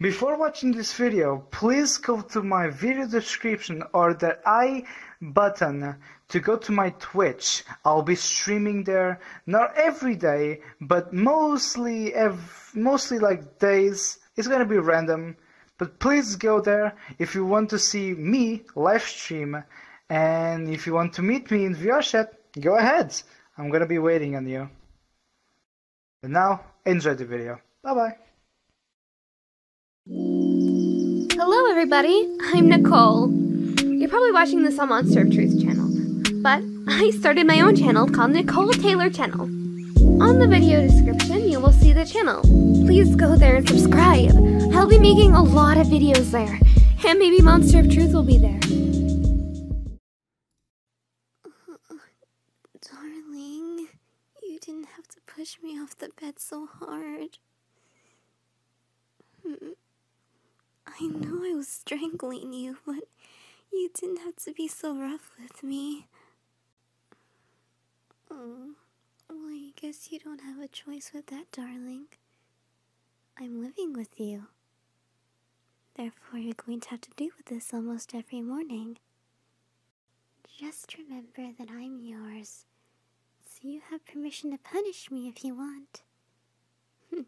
Before watching this video, please go to my video description or the i button to go to my Twitch. I'll be streaming there, not every day, but mostly like days. It's gonna be random, but please go there if you want to see me live stream, and if you want to meet me in VR go ahead. I'm gonna be waiting on you. And now, enjoy the video. Bye bye. Hello everybody, I'm Nicole. You're probably watching this on Monster of Truth channel, but I started my own channel called Nicole Taylor Channel. On the video description, you will see the channel. Please go there and subscribe. I'll be making a lot of videos there, and maybe Monster of Truth will be there. Uh, darling, you didn't have to push me off the bed so hard. Hmm, I know I was strangling you, but you didn't have to be so rough with me. Oh, well, I guess you don't have a choice with that, darling. I'm living with you. Therefore, you're going to have to deal with this almost every morning. Just remember that I'm yours, so you have permission to punish me if you want.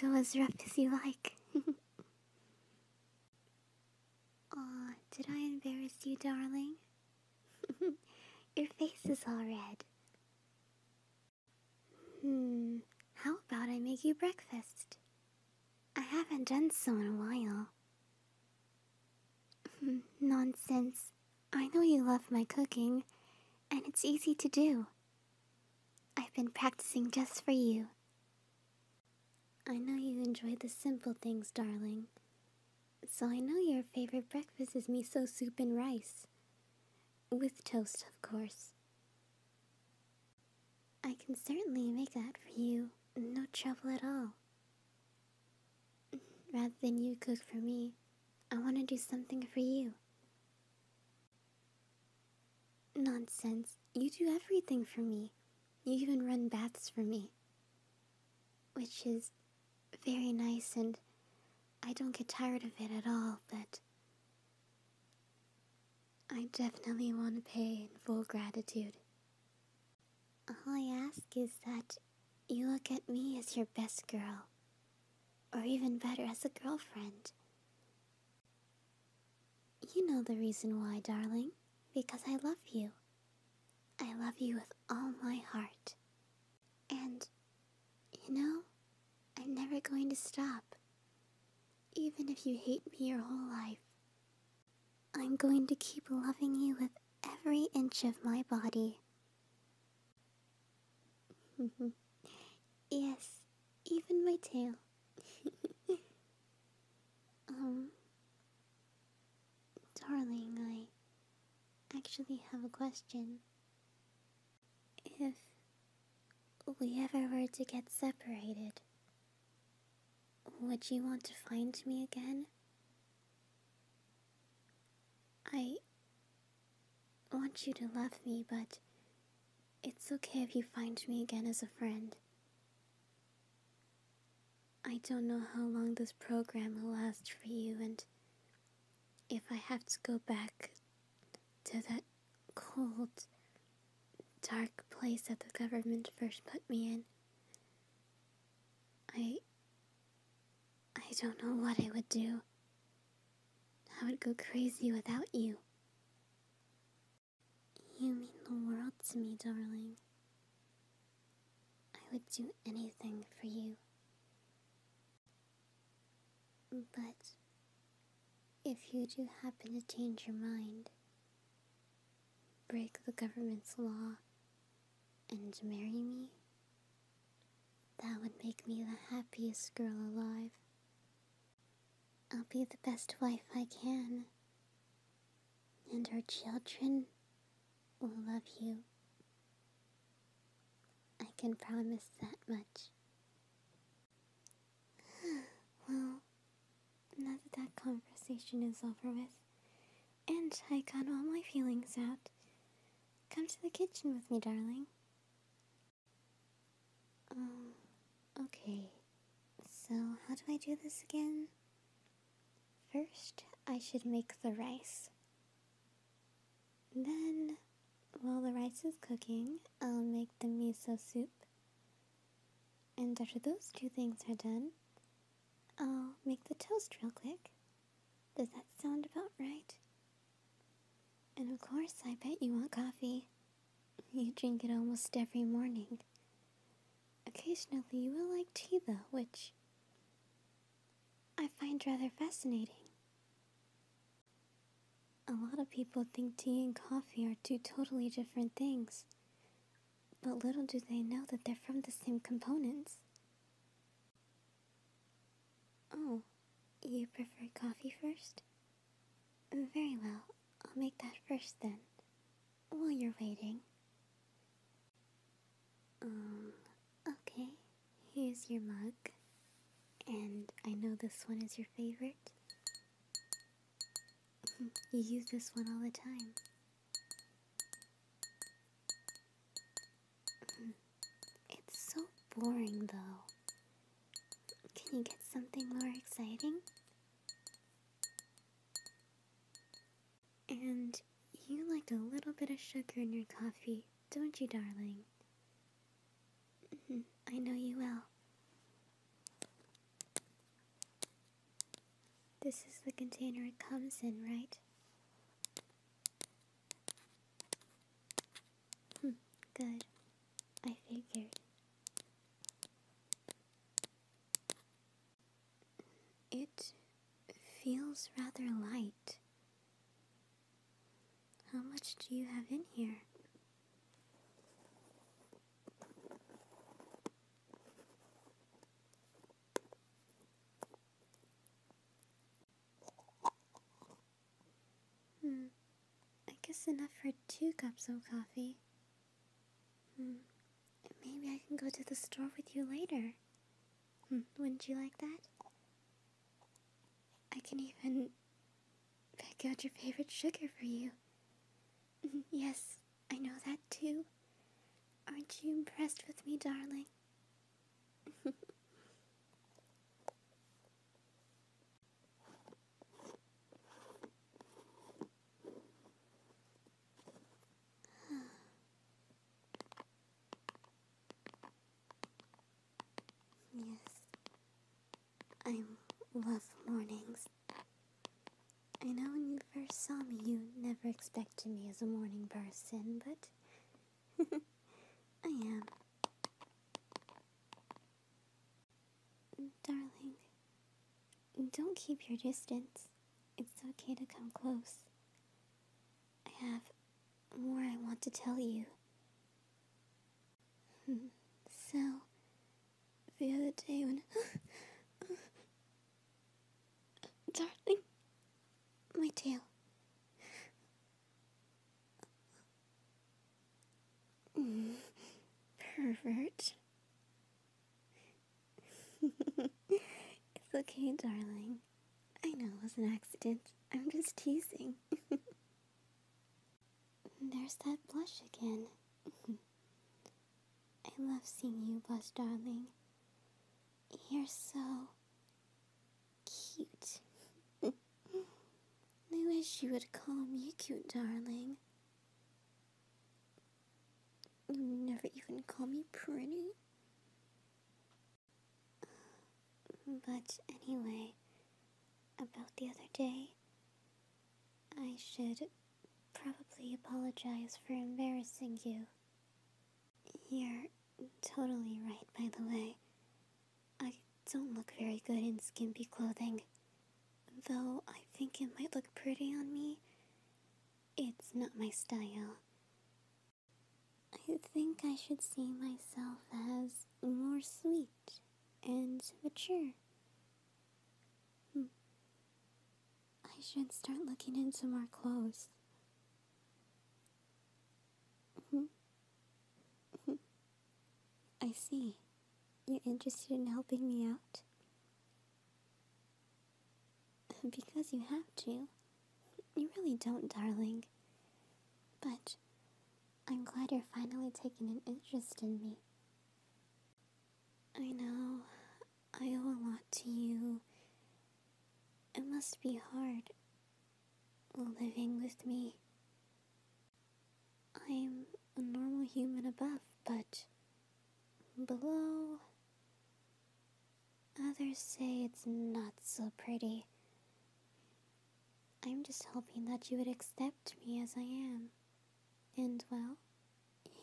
Go as rough as you like. Aw, did I embarrass you, darling? Your face is all red. Hmm, how about I make you breakfast? I haven't done so in a while. Hmm, nonsense. I know you love my cooking, and it's easy to do. I've been practicing just for you. I know you enjoy the simple things, darling. So I know your favorite breakfast is miso soup and rice. With toast, of course. I can certainly make that for you, no trouble at all. Rather than you cook for me, I want to do something for you. Nonsense, you do everything for me. You even run baths for me. Which is very nice, and I don't get tired of it at all, but. I definitely want to pay in full gratitude. All I ask is that you look at me as your best girl, or even better, as a girlfriend. You know the reason why, darling, because I love you. I love you with all my heart. And, you know, I'm never going to stop. Even if you hate me your whole life, I'm going to keep loving you with every inch of my body. yes, even my tail. um, darling, I actually have a question. If we ever were to get separated, would you want to find me again? I want you to love me, but it's okay if you find me again as a friend. I don't know how long this program will last for you, and if I have to go back to that cold, dark place that the government first put me in. I. I don't know what I would do. I would go crazy without you. You mean the world to me, darling. I would do anything for you. But if you do happen to change your mind, break the government's law, and marry me, that would make me the happiest girl alive. I'll be the best wife I can, and our children will love you. I can promise that much well, now that that conversation is over with, and I got all my feelings out, come to the kitchen with me, darling. Um, okay. So, how do I do this again? First, I should make the rice. Then, while the rice is cooking, I'll make the miso soup. And after those two things are done, I'll make the toast real quick. Does that sound about right? And of course, I bet you want coffee. You drink it almost every morning. Occasionally, you will like tea, though, which I find rather fascinating. A lot of people think tea and coffee are two totally different things, but little do they know that they're from the same components. Oh, you prefer coffee first? Very well, I'll make that first then, while you're waiting. Um, okay. Here's your mug. And I know this one is your favorite. you use this one all the time. it's so boring though. Can you get something more exciting? And you like a little bit of sugar in your coffee, don't you, darling? Mm-hmm. I know you will. This is the container it comes in, right? Hmm, good. I figured. It feels rather light. How much do you have in here? Hmm, I guess enough for two cups of coffee. Hmm, maybe I can go to the store with you later. Hmm, wouldn't you like that? I can even pick out your favorite sugar for you. Mm-hmm. Yes, I know that too. Aren't you impressed with me, darling? Yes. I love mornings. I know when you first saw me, you never expected me as a morning person, but I am. Darling, don't keep your distance. It's okay to come close. I have more I want to tell you. Hmm. so, the other day when. Darling, my tail. Mm, pervert. it's okay, darling. I know it was an accident. I'm just teasing. There's that blush again. I love seeing you blush, darling. You're so cute. I wish you would call me cute, darling. You never even call me pretty. But anyway, about the other day, I should probably apologize for embarrassing you. You're totally right, by the way. I don't look very good in skimpy clothing. Though I think it might look pretty on me, it's not my style. I think I should see myself as more sweet and mature. Hmm. I should start looking into more clothes. Hmm. Hmm. I see. You're interested in helping me out? Because you have to. You really don't, darling. But I'm glad you're finally taking an interest in me. I know I owe a lot to you. It must be hard living with me. I'm a normal human above, but below, Others say it's not so pretty. I'm just hoping that you would accept me as I am. And well,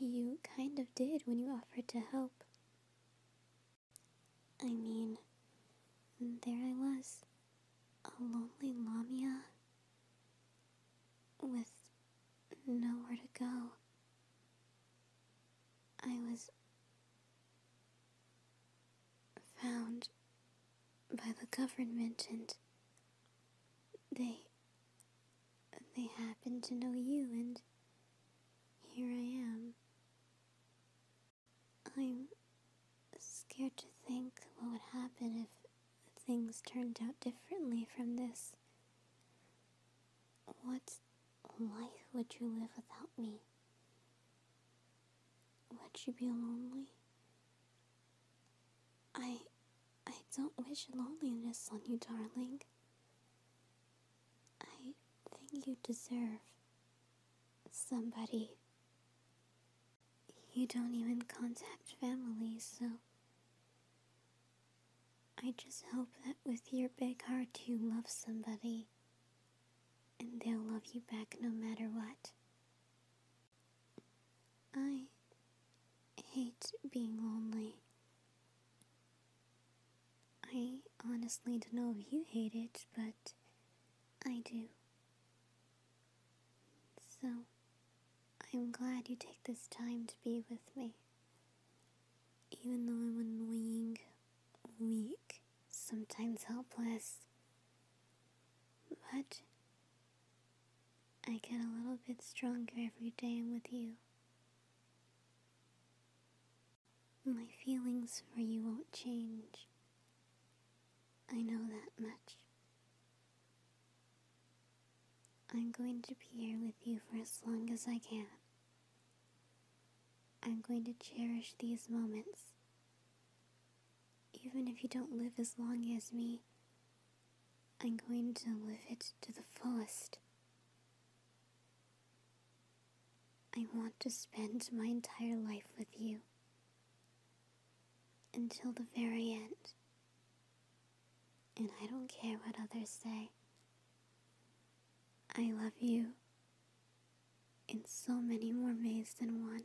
you kind of did when you offered to help. I mean, there I was, a lonely Lamia with nowhere to go. I was found by the government and they they happen to know you and here I am. I'm scared to think what would happen if things turned out differently from this. What life would you live without me? Would you be lonely? I. I don't wish loneliness on you, darling. I think you deserve somebody. You don't even contact family, so. I just hope that with your big heart you love somebody and they'll love you back no matter what. I hate being lonely. I honestly don't know if you hate it, but I do. So, I'm glad you take this time to be with me. Even though I'm annoying weak, sometimes helpless. But I get a little bit stronger every day I'm with you. My feelings for you won't change. I know that much. I'm going to be here with you for as long as I can. I'm going to cherish these moments. Even if you don't live as long as me, I'm going to live it to the fullest. I want to spend my entire life with you until the very end. And I don't care what others say. I love you in so many more ways than one.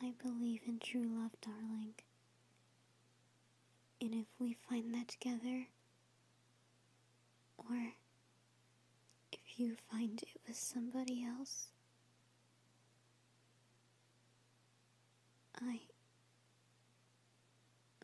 I believe in true love, darling. And if we find that together, or if you find it with somebody else, I.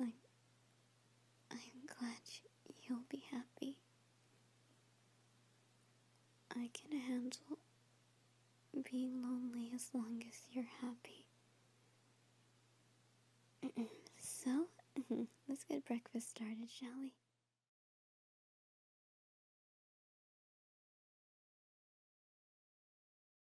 I. I'm glad you'll be happy. I can handle being lonely as long as you're happy. so, let's get breakfast started, shall we?